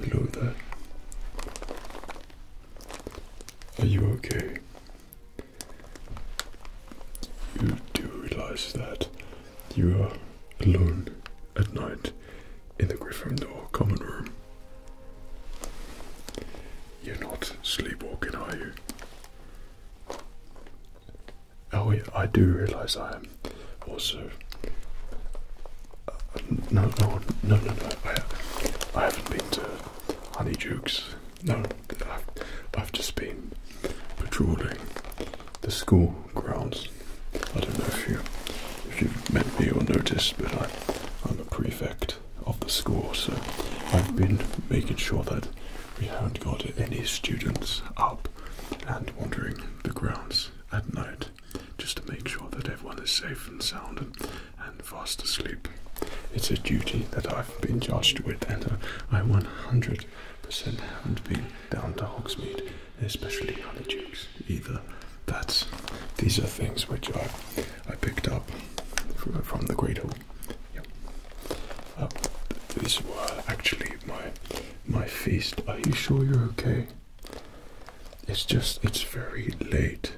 Hello there. Are you okay? You do realize that you are alone at night in the Gryffindor common room. You're not sleepwalking, are you? Oh, I do realize I am also. no, no, no, no, no. I, haven't been to Honeydukes. No, I've just been patrolling the school grounds I don't know if you if you've met me or noticed, but I, am a prefect of the school, so I've been making sure that we haven't got any students up and wandering the grounds at night, just to make sure that everyone is safe and sound and, fast asleep. It's a duty that I've been charged with, and I 100% haven't been down to Hogsmeade especially honeydukes either. That's these are things which I I picked up from, from the Great Hall. Yep. Uh, these were actually my my feast. Are you sure you're okay? It's just it's very late,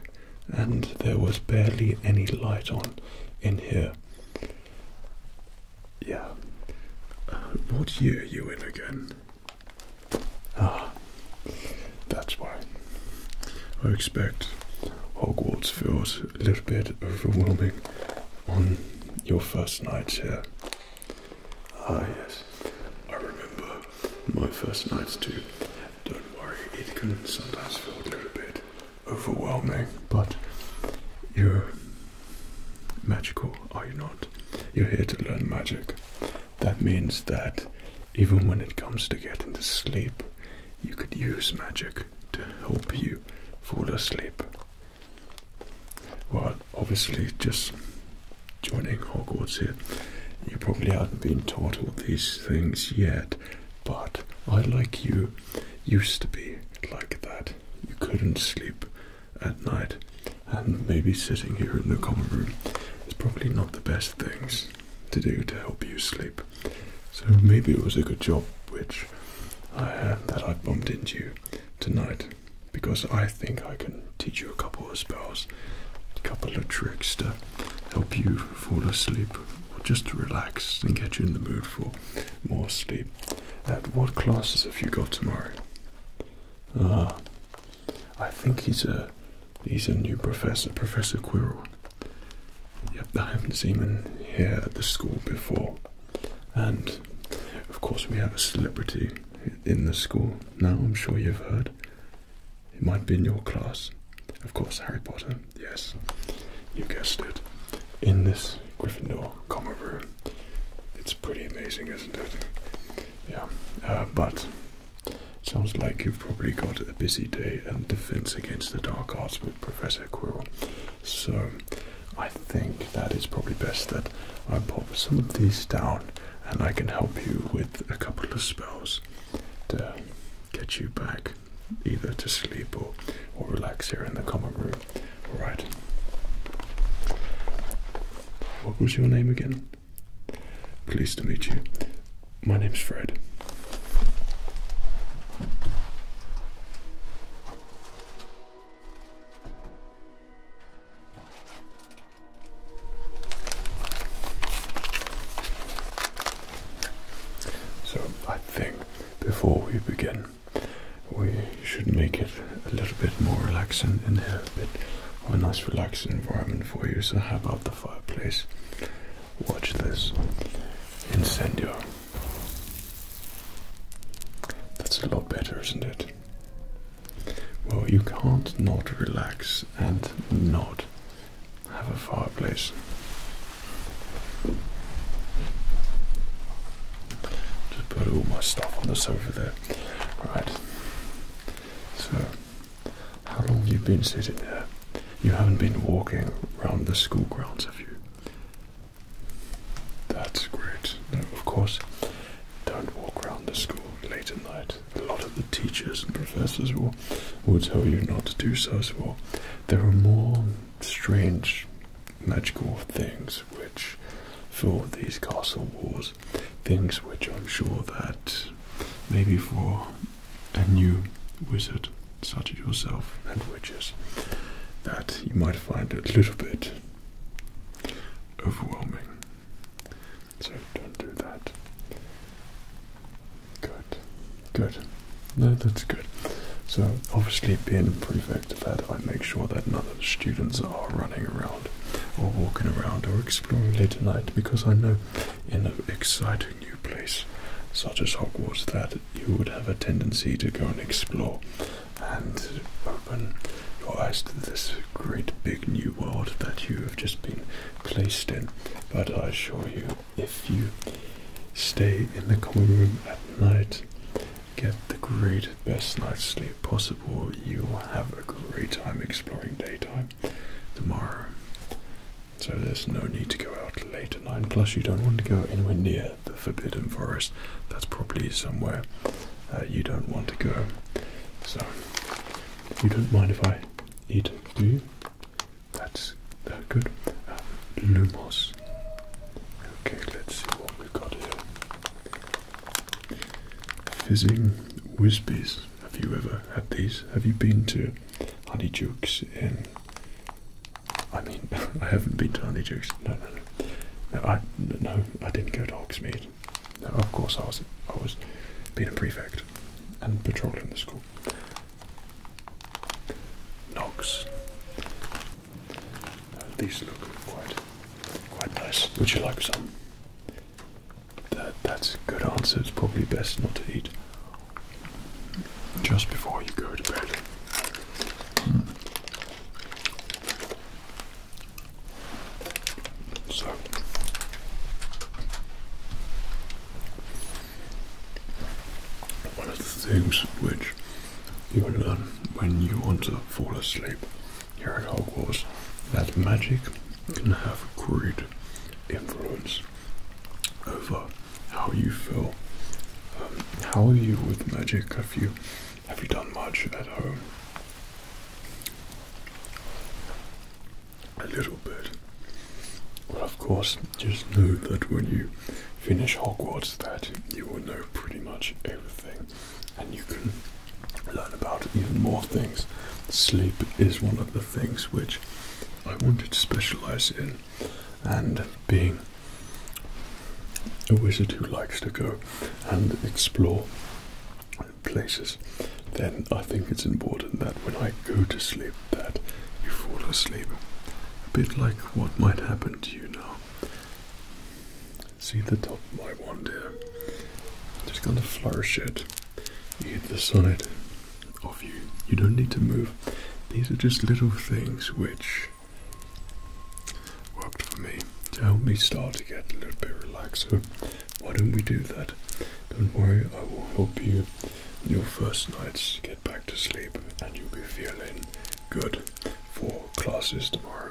and there was barely any light on in here. Yeah. Uh, what year you in again? Ah, that's why. I expect Hogwarts feels a little bit overwhelming on your first night here. Ah, yes. I remember my first nights too. Don't worry, it can sometimes feel a little bit overwhelming, but you are magical, are you not? You're here to learn magic. That means that even when it comes to getting to sleep, you could use magic to help you fall asleep. Well, obviously, just joining Hogwarts here, you probably haven't been taught all these things yet, but I, like you, used to be like that you couldn't sleep at night, and maybe sitting here in the common room is probably not the best things to do to help you sleep. So maybe it was a good job which I uh, that I bumped into you tonight because I think I can teach you a couple of spells, a couple of tricks to help you fall asleep or just to relax and get you in the mood for more sleep. At what classes have you got tomorrow? Ah, I think he's a he's a new professor, Professor Quirrell. Yep, I haven't seen him here at the school before, and of course we have a celebrity in the school now. I'm sure you've heard. It might be in your class, of course. Harry Potter. Yes, you guessed it. In this Gryffindor common room, it's pretty amazing, isn't it? Yeah, uh, but sounds like you've probably got a busy day and defense against the dark arts with Professor Quirrell. So I think that it's probably best that I pop some of these down and I can help you with a couple of spells to get you back either to sleep or, or relax here in the common room. Alright. What was your name again? Pleased to meet you. My name's Fred. So, I think before we begin, we should make it a little bit more relaxing in here, a bit of a nice relaxing environment for you. So how about the fireplace? Watch this. Incendio. That's a lot better, isn't it? Well, you can't not relax and not have a fireplace. Just put all my stuff on the sofa there. Right. So, how long have you been sitting there? You haven't been walking around the school grounds, have you? That's great. No, of course, don't walk around the school late at night. A lot of the teachers and professors will, will tell you not to do so as well. There are more strange magical things which fill these castle walls things which I'm sure that maybe for a new wizard such as yourself and witches that you might find a little bit overwhelming. So don't do that. Good. Good. No, that's good. So obviously being a prefect of that I make sure that none of the students are running around or walking around or exploring late at night because I know in an exciting new place such as Hogwarts that you would have a tendency to go and explore and open your eyes to this great big new world that you have just been placed in. But I assure you, if you stay in the common room at night, get the great best night's sleep possible. You will have a great time exploring daytime tomorrow. So there's no need to go out late at nine. Plus, you don't want to go anywhere near the Forbidden Forest. That's probably somewhere uh, you don't want to go. So you don't mind if I eat, do you? That's uh, good. Uh, Lumos. Okay, let's see what we've got here. Fizzing Wispies. Have you ever had these? Have you been to Honeydukes in... I mean, I haven't been to Honeydukes. No, no, no. No, I, no, I didn't go to Hogsmeade. No, of course I was, I was being a prefect and patrolling the school. Knox. these look quite, quite nice. Would you like some? That that's a good answer. It's probably best not to eat just before you go to bed. Hmm. So one of the things which you learn when you want to fall asleep here at Hogwarts that magic can have a great influence over how you feel. Um, how are you with magic? Have you have you done much at home? A little bit. Well, of course, just know that when you finish Hogwarts, that you will know pretty much everything and you can learn about even more things. Sleep is one of the things which I wanted to specialize in, and being a wizard who likes to go and explore places, then I think it's important that when I go to sleep that you fall asleep. A bit like what might happen to you now. See the top of my wand here. Just kind of flourish it. You hit the side of you. You don't need to move. These are just little things which worked for me to help me start to get a little bit relaxed. So why don't we do that? Don't worry, I will help you your first nights get back to sleep and you'll be feeling good for classes tomorrow.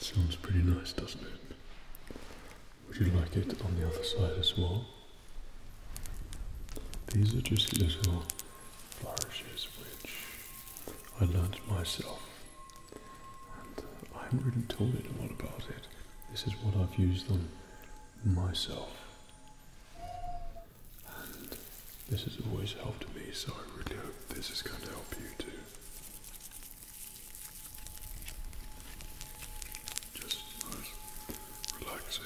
Sounds pretty nice, doesn't it? Would you like it on the other side as well? These are just little flourishes which I learnt myself and uh, I haven't really told anyone about it. This is what I've used on myself this has always helped me, so I really hope this is going to help you too. Just nice, relaxing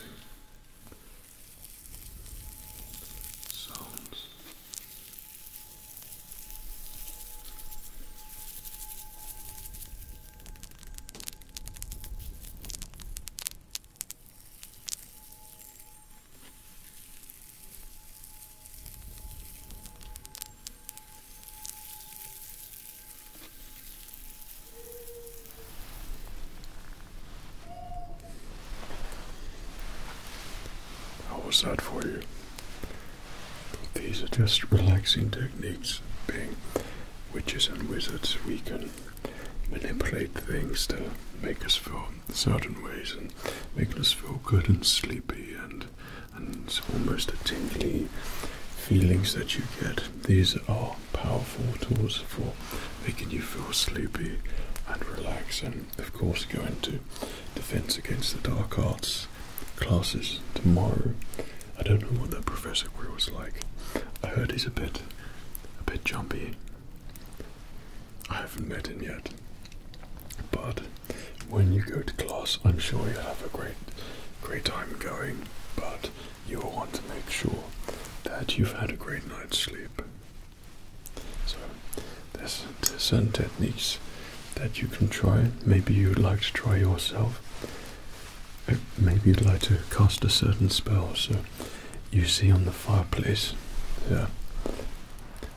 sounds. How was that for you? These are just relaxing techniques, being witches and wizards. We can manipulate things to make us feel certain ways and making us feel good and sleepy and and almost a tingly feelings that you get. These are powerful tools for making you feel sleepy and relax and of course go into defense against the dark arts classes tomorrow. I don't know what that professor queer was like. I heard he's a bit a bit jumpy. I haven't met him yet. But when you go to class, I'm sure you'll have a great, great time going. But you will want to make sure that you've had a great night's sleep. So, there's certain techniques that you can try. Maybe you'd like to try yourself. Uh, maybe you'd like to cast a certain spell. So, you see on the fireplace, yeah,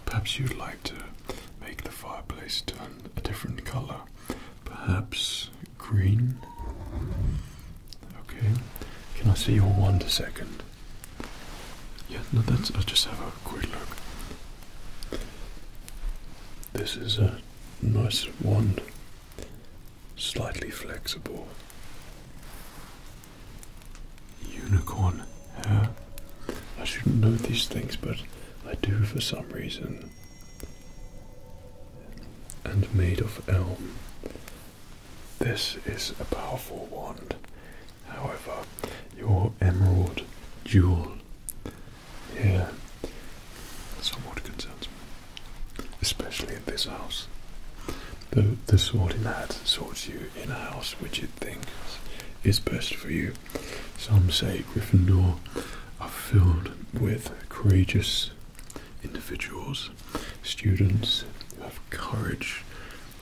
Perhaps you'd like to make the fireplace turn a different color. Perhaps green. Okay. Can I see your wand a second? Yeah, no, that's. I'll just have a quick look. This is a nice wand, slightly flexible. Unicorn hair. I shouldn't know these things, but I do for some reason. And made of elm. This is a powerful wand. However, your emerald jewel here somewhat concerns me, especially in this house the, the sorting hat sorts you in a house which it thinks is best for you. Some say Gryffindor are filled with courageous individuals, students of courage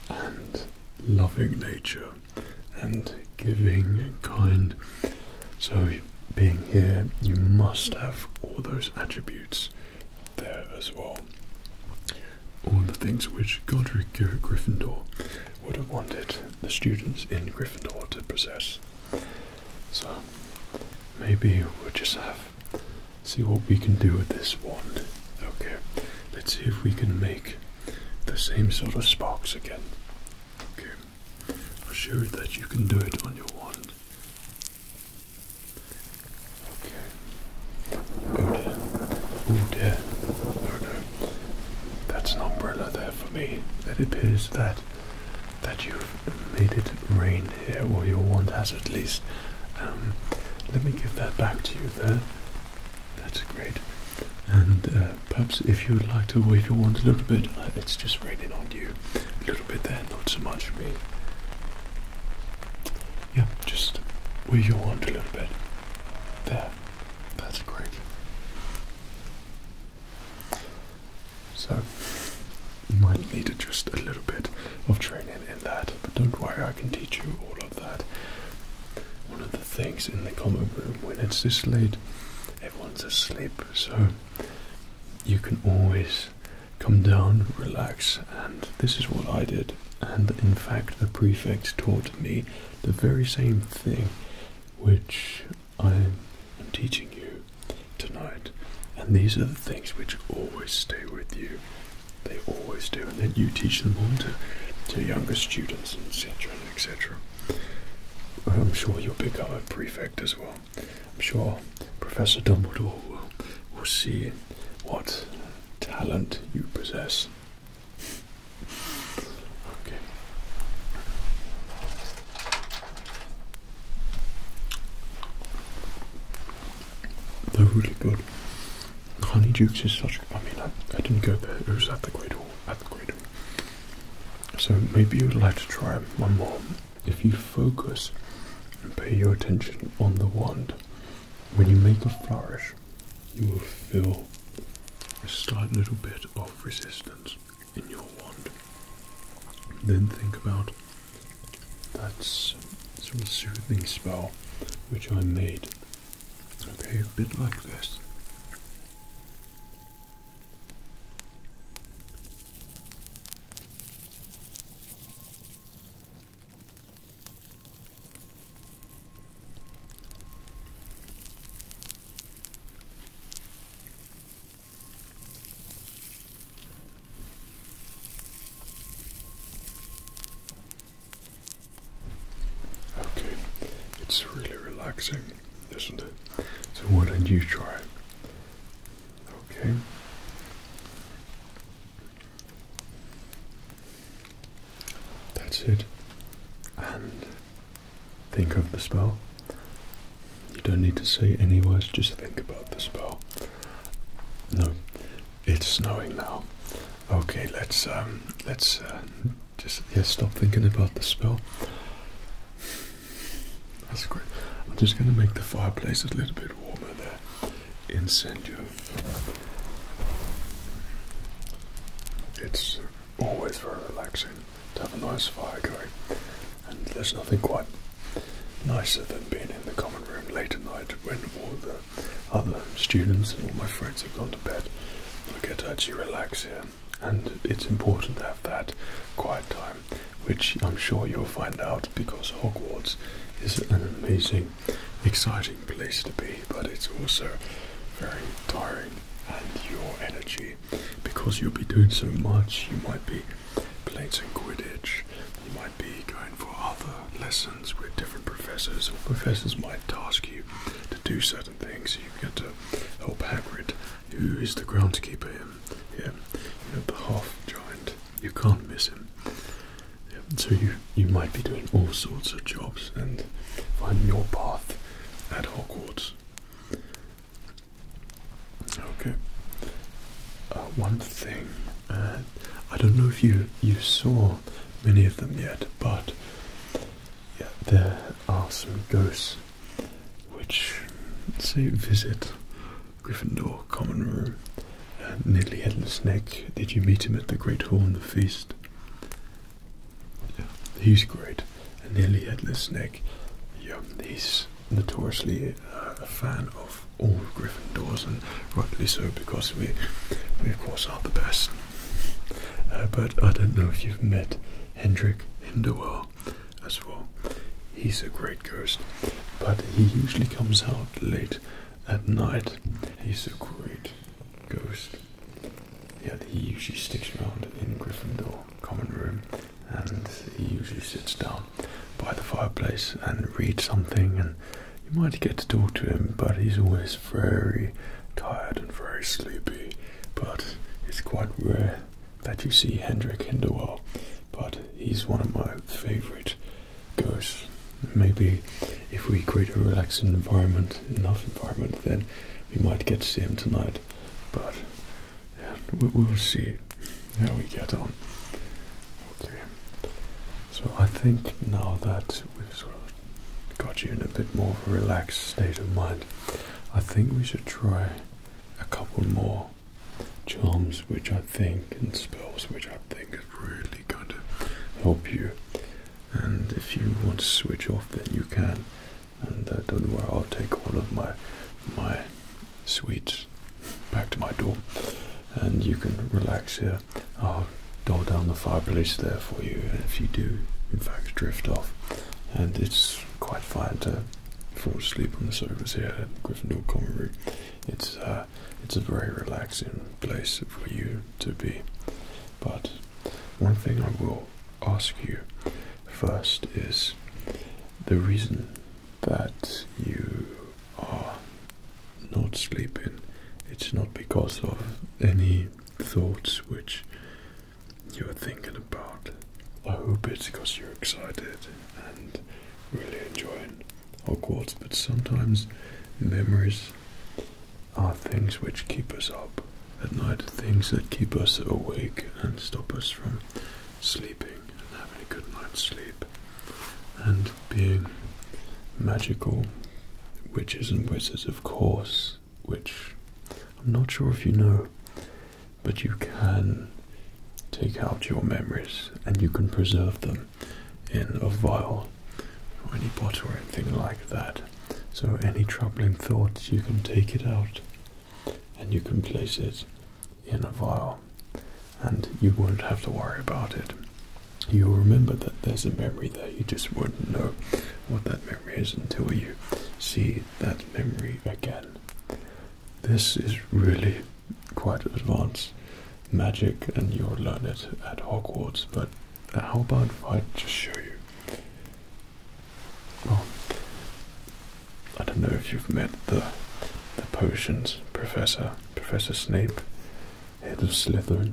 and loving nature and giving and kind. So, being here, you must have all those attributes there as well all the things which Godric Gryffindor would have wanted the students in Gryffindor to possess. So maybe we'll just have see what we can do with this wand. Okay, let's see if we can make the same sort of sparks again. Okay, i am sure that you can do it on your wand. Okay, Good. Oh dear. No, oh oh, no. That's an umbrella there for me. It appears that that you've made it rain here, or your wand has at least. Um, let me give that back to you there. That's great. And uh, perhaps if you would like to wave your wand a little bit, uh, it's just raining on you. A little bit there, not so much for me. Yeah, just wave your wand a little bit. There. That's great. So, you might need just a little bit of training in that, but don't worry, I can teach you all of that. One of the things in the common room when it's this late, everyone's asleep, so you can always come down, relax, and this is what I did. And in fact, the prefect taught me the very same thing which I'm teaching you tonight. And these are the things which always stay with you. They always do. And then you teach them on to, younger students, etc., etc. I'm sure you'll become a prefect as well. I'm sure Professor Dumbledore will see what talent you possess. They're really good. The honey jukes is such. I mean, I, didn't go there. It was at the Great Hall. At the Great Hall. So maybe you'd like to try one more. If you focus and pay your attention on the wand, when you make a flourish, you will feel a slight little bit of resistance in your wand. Then think about that sort soothing spell which I made. Okay, a bit like this. Okay, it's really relaxing, isn't it? So, why don't you try? Okay. That's it. And think of the spell. You don't need to say any words, just think about the spell. No, it's snowing now. Okay, let's um, let's uh, just stop thinking about the spell. That's great. I'm just gonna make the fireplace a little bit warmer there. Incendio it's always very relaxing to have a nice fire going, and there's nothing quite nicer than being in the common room late at night when all the other students and all my friends have gone to bed. I get to actually relax here, and it's important to have that quiet time, which I'm sure you'll find out because Hogwarts is an amazing, exciting place to be but it's also very tiring and your energy because you'll be doing so much you might be playing some quidditch you might be going for other lessons with different professors or professors might task you to do certain things you get to help Hagrid who is the groundskeeper him yeah you know the half giant you can't miss him so you you might be doing all sorts of jobs and find your path at Hogwarts. Okay. Uh, one thing, I don't know if you you saw many of them yet, but yeah, there are some ghosts which say visit Gryffindor common room. Uh, Niddly headless snake. Did you meet him at the Great Hall in the feast? he's great. and nearly headless snake. Yeah, he's notoriously uh, a fan of all Gryffindors, and rightly so because we, we of course are the best. Uh, but I don't know if you've met Hendrik Hinderwell as well. He's a great ghost, but he usually comes out late at night. He's a great ghost yeah, he usually sticks around in Gryffindor common room, and he usually sits down by the fireplace and reads something, and you might get to talk to him, but he's always very tired and very sleepy. But it's quite rare that you see Hendrik Hinderwell, but he's one of my favourite ghosts. Maybe if we create a relaxing environment enough environment, then we might get to see him tonight. But we, will see how we get on. Okay. So I think now that we've sort of got you in a bit more of a relaxed state of mind, I think we should try a couple more charms which I think and spells which I think are really going to help you and if you want to switch off then you can and uh, don't worry I'll take all of my my sweets back to my door and you can relax here I'll dial down the fireplace there for you if you do in fact drift off and it's quite fine to fall asleep on the sofas here at Gryffindor Common Room it's uh, it's a very relaxing place for you to be but one thing I will ask you first is the reason that you are not sleeping. It's not because of any thoughts which you're thinking about. I hope it's because you're excited and really enjoying Hogwarts, but sometimes memories are things which keep us up at night, things that keep us awake and stop us from sleeping and having a good night's sleep and being magical witches and wizards, of course, which I'm not sure if you know, but you can take out your memories and you can preserve them in a vial or any bottle or anything like that. So any troubling thoughts, you can take it out and you can place it in a vial and you won't have to worry about it. You'll remember that there's a memory there, you just wouldn't know what that memory is until you see that memory again. This is really quite advanced magic and you'll learn it at Hogwarts, but uh, how about if I just show you? Well, I don't know if you've met the the potions professor, Professor Snape, head of Slytherin.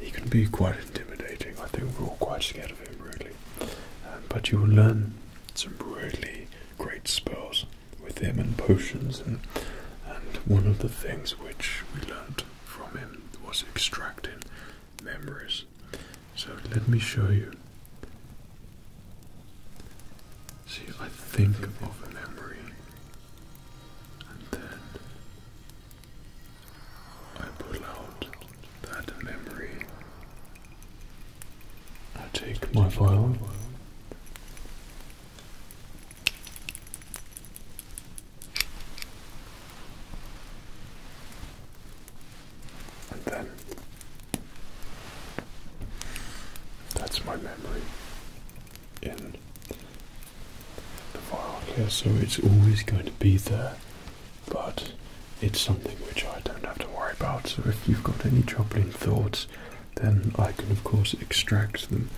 He can be quite intimidating. I think we're all quite scared of him, really. Um, but you will learn some really great spells with him and potions, and and one of the things which we learned from him was extracting memories so let me show you. See, I think of a memory, and then I pull out that memory. I take my file. And then that's my memory in the vial. here, so it's always going to be there, but it's something which I don't have to worry about. So if you've got any troubling thoughts, then I can of course extract them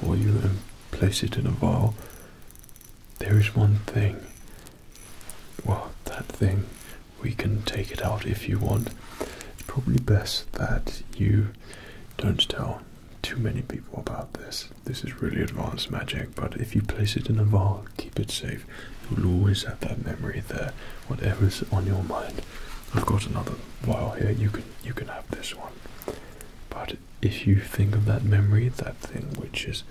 for you and place it in a vial there is one thing. Well, that thing, we can take it out if you want. It's probably best that you don't tell too many people about this. This is really advanced magic, but if you place it in a vault, keep it safe. You'll always have that memory there, whatever's on your mind. I've got another vial here. You can you can have this one. But if you think of that memory, that thing which is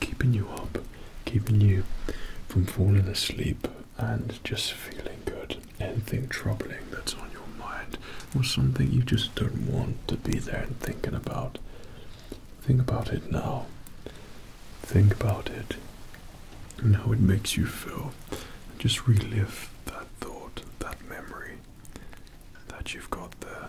keeping you up, keeping you from falling asleep and just feeling good. Anything troubling that's on your mind or something you just don't want to be there and thinking about. Think about it now. Think about it and how it makes you feel. Just relive that thought, that memory that you've got there.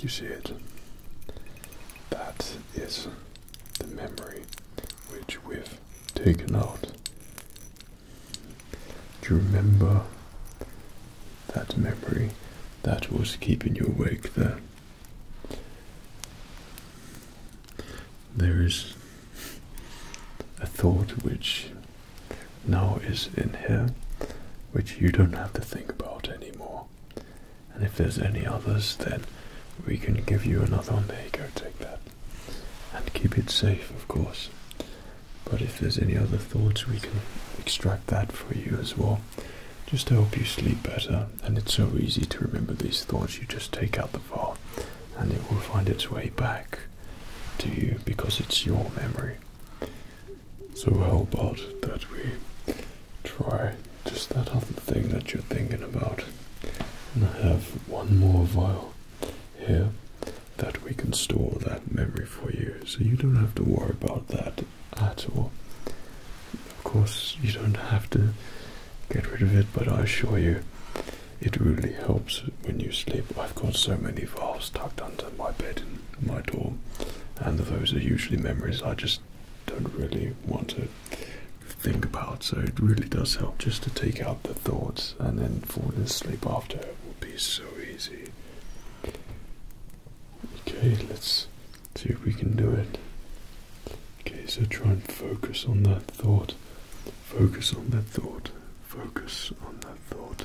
You see it? That is the memory which we've taken out. Do you remember that memory that was keeping you awake there? There is a thought which now is in here, which you don't have to think about anymore. And if there's any others, then we can give you another one. There you go, take that. And keep it safe, of course. But if there's any other thoughts, we can extract that for you as well. Just to help you sleep better. And it's so easy to remember these thoughts. You just take out the thought, and it will find its way back to you because it's your memory. So how about that we try just that other thing that you're thinking about? And I have one more vial here that we can store that memory for you. So you don't have to worry about that at all. Of course, you don't have to get rid of it, but I assure you, it really helps when you sleep. I've got so many vials tucked under my bed my dorm, and those are usually memories I just don't really want to think about. So it really does help just to take out the thoughts, and then falling asleep after will be so easy. Okay, let's see if we can do it. Okay, so try and focus on that thought. Focus on that thought. Focus on that thought.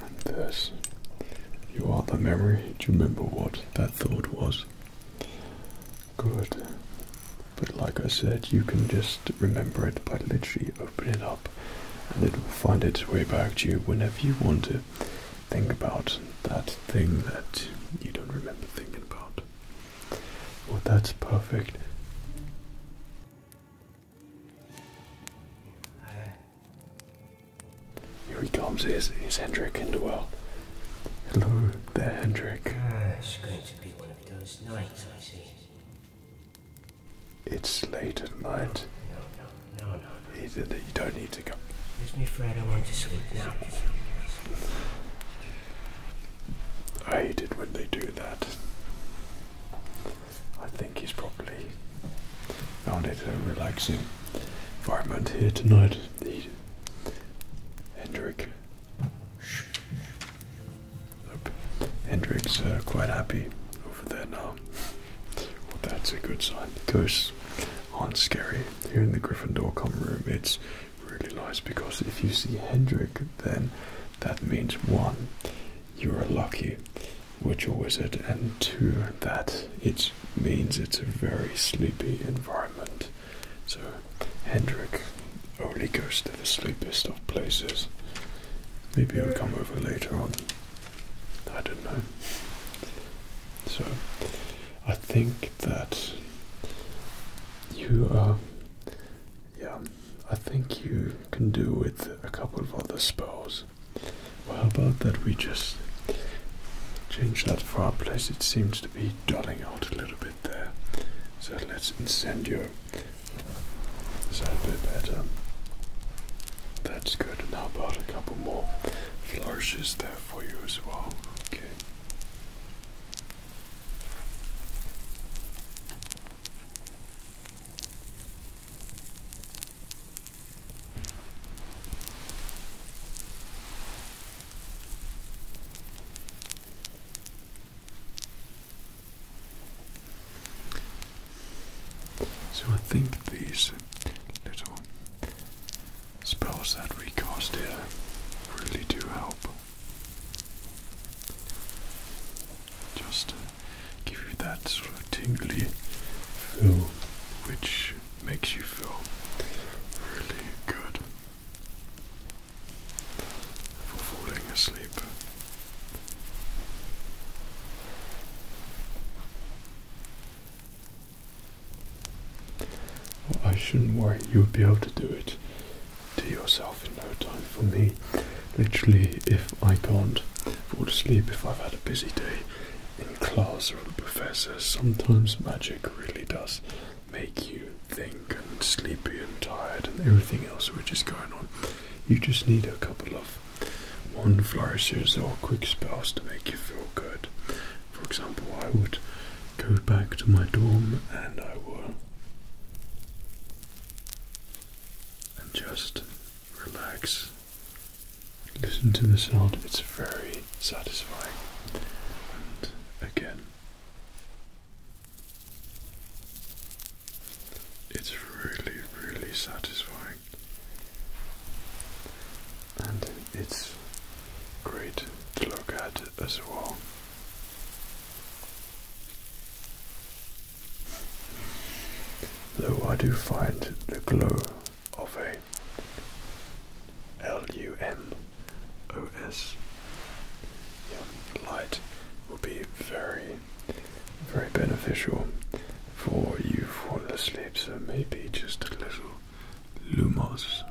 And this. You are the memory. Do you remember what that thought was? Good. But like I said, you can just remember it by literally opening it up and it will find its way back to you whenever you want to think about that thing that you don't remember thinking about. Well, that's perfect. Here he comes, is is Hendrik in the world. Hello there, Hendrik. Ah, it's going to be one of those nights, I see. It's late at night. No, no, no, no, no. You, you don't need to go. Excuse me, Fred, I want to sleep now. I hate it when they do that. I think he's probably found it a relaxing environment here tonight. Hendrik. Hendrik's uh, quite happy over there now. that's a good sign. Ghosts aren't scary. Here in the Gryffindor common room, it's really nice because if you see Hendrik, then that means one you are lucky with your wizard, and to that it means it's a very sleepy environment. So Hendrik only goes to the sleepiest of places. Maybe I'll come over later on. I don't know. So I think that you are yeah I think you can do with a couple of other spells. Well, how about that we just change that fireplace? It seems to be dulling out a little bit there. So let's incendio. Is that bit better? That's good. And how about a couple more flourishes there for you as well? Okay. So I think these little spells that we cast here really do help just to give you that sort of tingly feel which makes you feel really good for falling asleep. I shouldn't worry, you'll be able to do it to yourself in no time for me literally if I can't fall asleep, if I've had a busy day in class or with a professor, sometimes magic really does make you think and sleepy and tired and everything else which is going on. You just need a couple of one flourishes or quick spells to make you feel good. For example, I would go back to my dorm and I will and just relax. Listen to the sound, it's very satisfying. And again, it's really, really satisfying. And it's great to look at as well. Though I do find the glow of a LUMOS light will be very, very beneficial for you for asleep. So maybe just a little Lumos.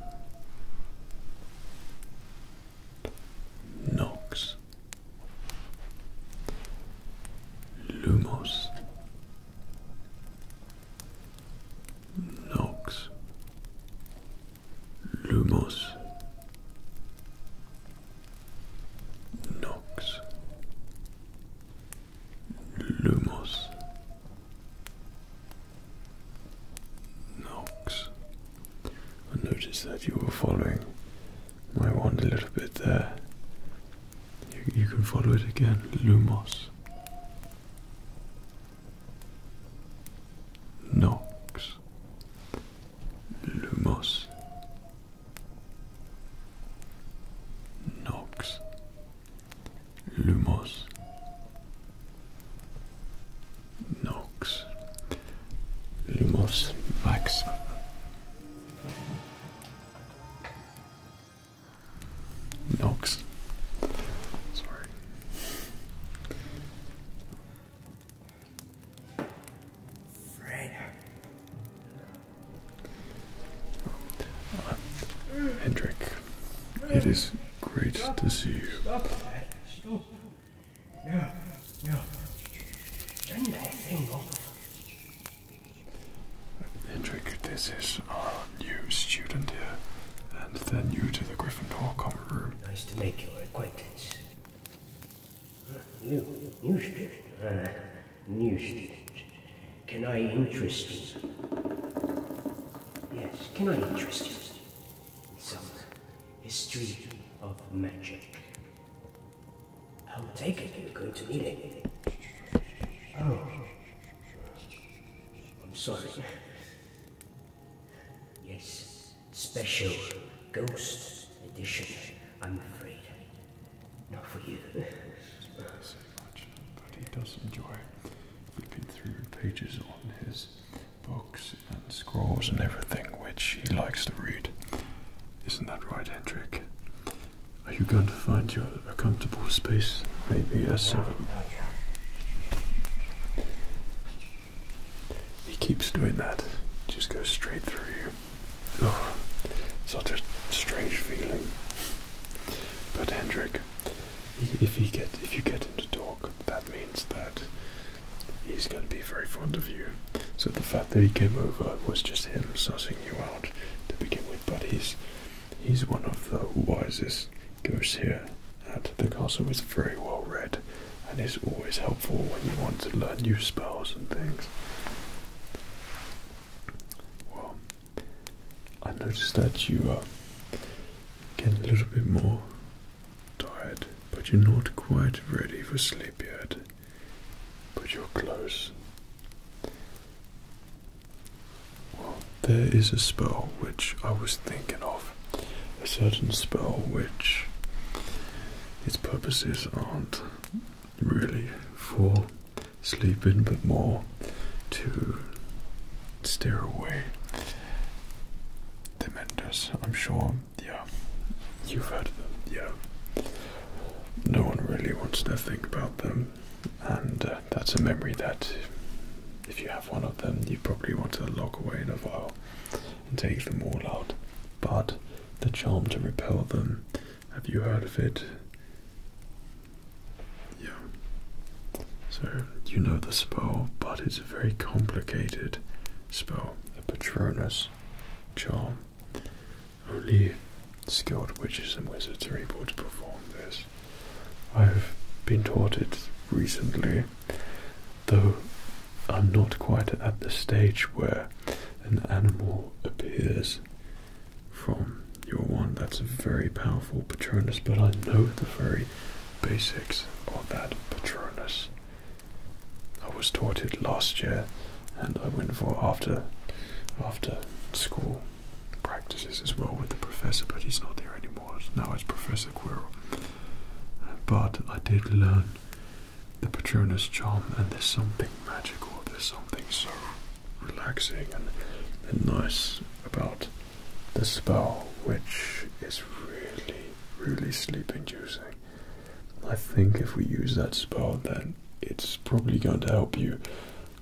Nox. Lumos. Nox. Lumos. Nox. Lumos. Nox. I noticed that you were following might wander a little bit there. You, you can follow it again, Lumos. Nox. Lumos. Nox. Lumos. Nox. Lumos. Max. Nox. Sorry. Freya. Hendrik, it is great to see you. Hedrick, this is our new student here, and they're new to the Gryffindor common room. Nice to make your acquaintance. New, new student, uh, new student. Can I interest you? Yes, can I interest you in some history of magic? I'll take it you're going to need it. Oh. I'm sorry. Yes, special ghost edition, I'm afraid. Not for you. Yes, unfortunate, but he does enjoy flipping through pages on his books and scrolls and everything which he likes to read. Isn't that right, Hendrik? Are you going to find your a comfortable space? Maybe a seven. He keeps doing that. Just goes straight through you. Oh, such a strange feeling. But Hendrik, if you get if you get him to talk, that means that he's going to be very fond of you. So the fact that he came over was just him sussing you out to begin with, but he's he's one of the wisest ghosts here at the castle. He's very well read and is always helpful when you want to learn new spells and things. Well, I noticed that you are getting a little bit more tired, but you're not quite ready for sleep yet but you're close. Well, there is a spell which I was thinking of. A certain spell which its purposes aren't really for sleeping but more to steer away the dementors. I'm sure, yeah, you've heard of them, yeah no one really wants to think about them, and uh, that's a memory that, if you have one of them, you probably want to lock away in a vial and take them all out. But the charm to repel them, have you heard of it? Yeah. So you know the spell, but it's a very complicated spell, the Patronus charm. Only skilled witches and wizards are able to perform this. I've been taught it recently, though I'm not quite at the stage where an animal appears from your wand. That's a very powerful Patronus, but I know the very basics of that Patronus. I was taught it last year and I went for after after school practices as well with the professor, but he's not there anymore. Now it's Professor Quirrell. But I did learn the Patronus charm, and there's something magical. There's something so relaxing and, and nice about the spell, which is really, really sleep inducing. I think if we use that spell, then it's probably going to help you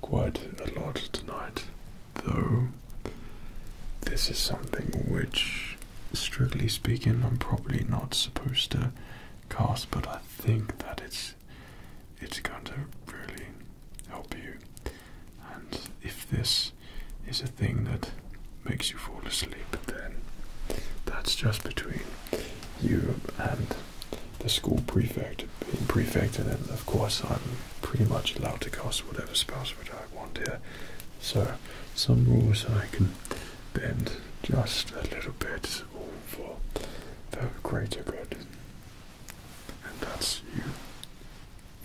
quite a lot tonight. Though, this is something which, strictly speaking, I'm probably not supposed to cast, but I think that it's it's going to really help you. And if this is a thing that makes you fall asleep, then that's just between you and the school prefect, being prefect, and then of course I'm pretty much allowed to cast whatever spells that I want here. So some rules I can bend just a little bit, for the greater good. And that's you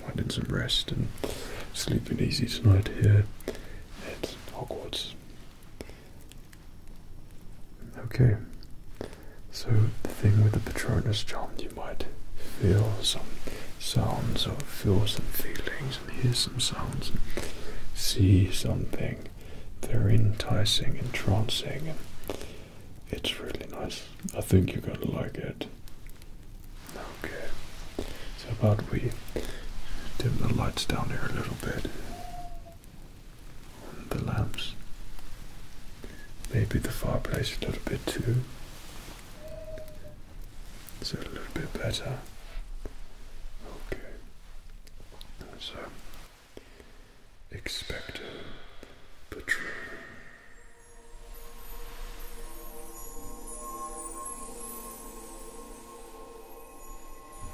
finding some rest and sleeping easy tonight here at Hogwarts. Okay, so the thing with the Patronus charm, you might feel some sounds or feel some feelings and hear some sounds and see something They're enticing, entrancing, and it's really nice. I think you're gonna like it. Okay, so about we dim the lights down here a little bit the lamps. Maybe the fireplace a little bit too. It's a little bit better. Okay. So um, expecto patrol.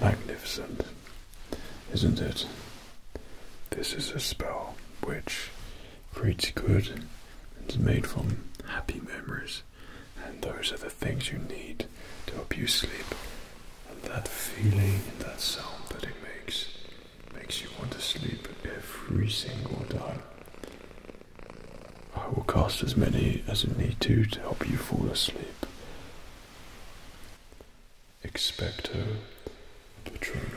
Magnificent, isn't it? This is a spell which creates good It's made from happy memories, and those are the things you need to help you sleep and that feeling and that sound that it makes makes you want to sleep every single time. I will cast as many as I need to to help you fall asleep. Expecto Patronum.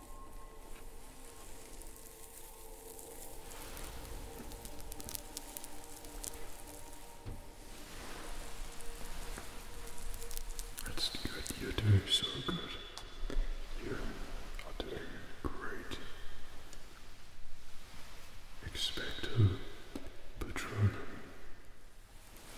That's good. You're doing so good. You are doing great. Expecto Patronum.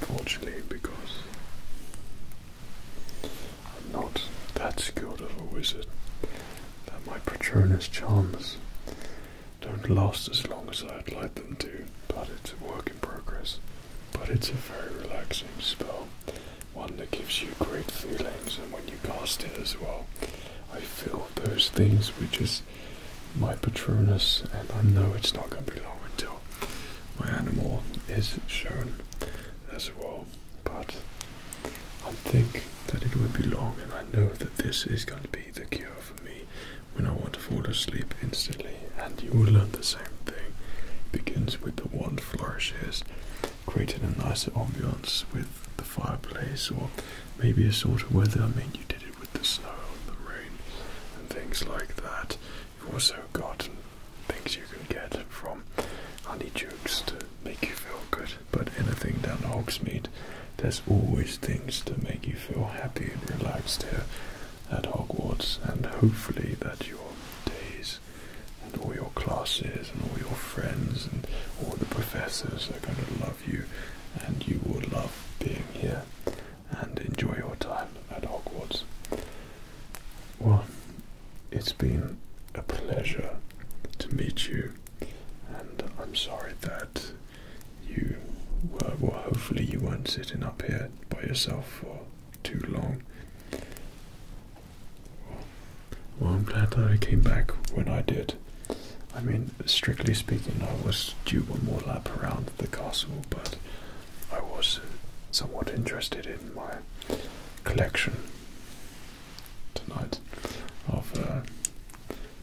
Fortunately, because I'm not that skilled of a wizard, that my Patronus charms don't last as long as I'd like them to, but it's a work in progress. But it's a very relaxing spell, one that gives you great feelings, and when you cast it as well, I feel those things which is my Patronus, and I know it's not going to be long until my animal is shown as well. But I think that it will be long, and I know that this is going to be the cure for me when I want to fall asleep instantly, and you will learn the same thing. It begins with the wand flourishes, creating a nicer ambiance with the fireplace, or maybe a sort of weather. I mean, you did it with the snow and the rain and things like that. You've also got things you can get from honeydukes to make you feel good. But anything down Hogsmeade, there's always things to make you feel happy and relaxed here at Hogwarts, and hopefully that your days and all your classes and all your friends and all the professors are going to love you, and you will love being here and enjoy your time at Hogwarts. Well, it's been a pleasure to meet you, and I'm sorry that you were, well, hopefully, you weren't sitting up here by yourself for too long. Well, I'm glad that I came back when I did. I mean, strictly speaking, I was due one more lap around the castle, but I was uh, somewhat interested in my collection tonight of uh,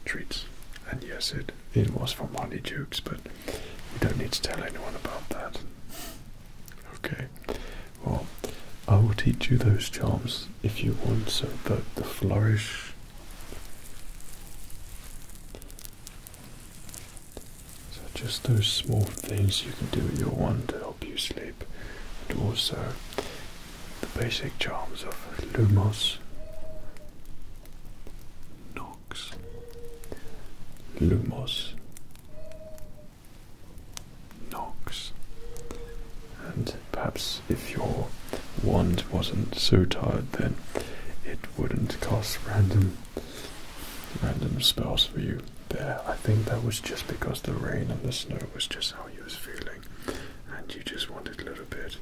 treats. And yes, it, it was for money, Jukes, but you don't need to tell anyone about that. Okay. Well, I will teach you those charms if you want, so the, the flourish. So just those small things you can do at your one to help you sleep. And also the basic charms of Lumos, Nom, Fox, Lumos, Nox. And perhaps if your wand wasn't so tired, then it wouldn't cast random random spells for you there. I think that was just because the rain and the snow was just how you was feeling, and you just wanted a little bit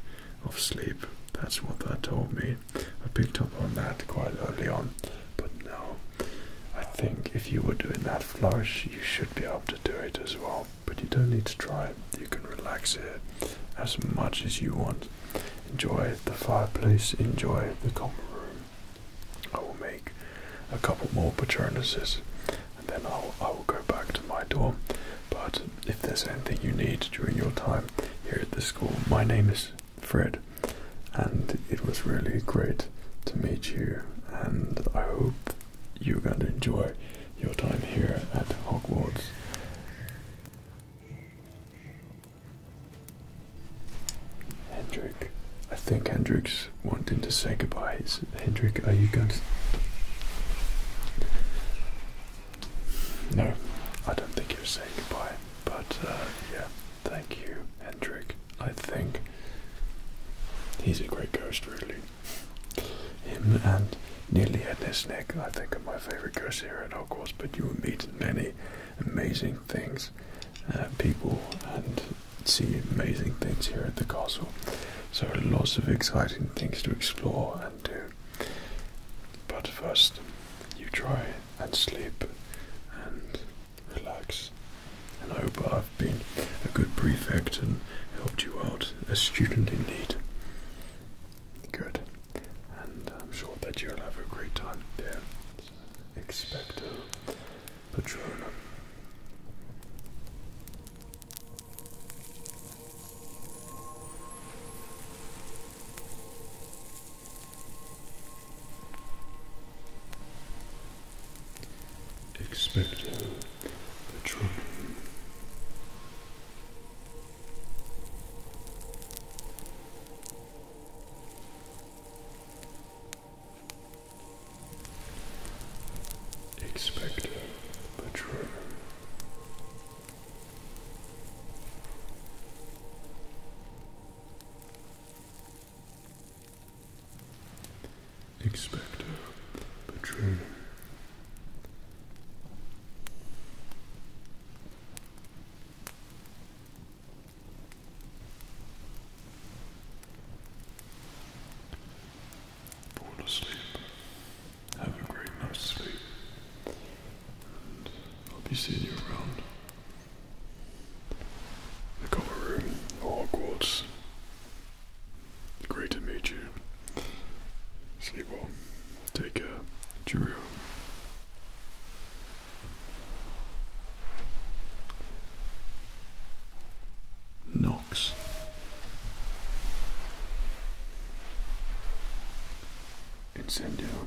of sleep. That's what that told me. I picked up on that quite early on. But now, I think if you were doing that flush, you should be able to do it as well. But you don't need to try it. You can relax here as much as you want. Enjoy the fireplace. Enjoy the common room. I will make a couple more patronuses, and then I'll I will go back to my dorm. But if there's anything you need during your time here at the school, my name is Fred, and it was really great to meet you. And I hope you're going to enjoy your time here at Hogwarts. Hendrik, I think Hendrik's wanting to say goodbye. Hendrik, are you going No, I don't think you're saying goodbye. But uh, yeah, Thank you, Hendrik. I think he's a great ghost, really. Him and Nearly Headless Nick, I think, are my favorite ghosts here at Hogwarts. But you will meet many amazing things, uh, people, and see amazing things here at the castle. So lots of exciting things to explore and do. But first, you try and sleep and relax. And I hope I've been a good prefect and helped you out, a student indeed. Good. And I'm sure that you'll have a great time there. Expect Expecto Patronum. Expecting the trumpet. Expecting the trumpet. Expecto Patronum. Fall asleep. Have a great night's sleep. And I'll you around. The Common Room, Hogwarts. Great to meet you. Sleep well. Take care. Cheerio. Knox. Incendio.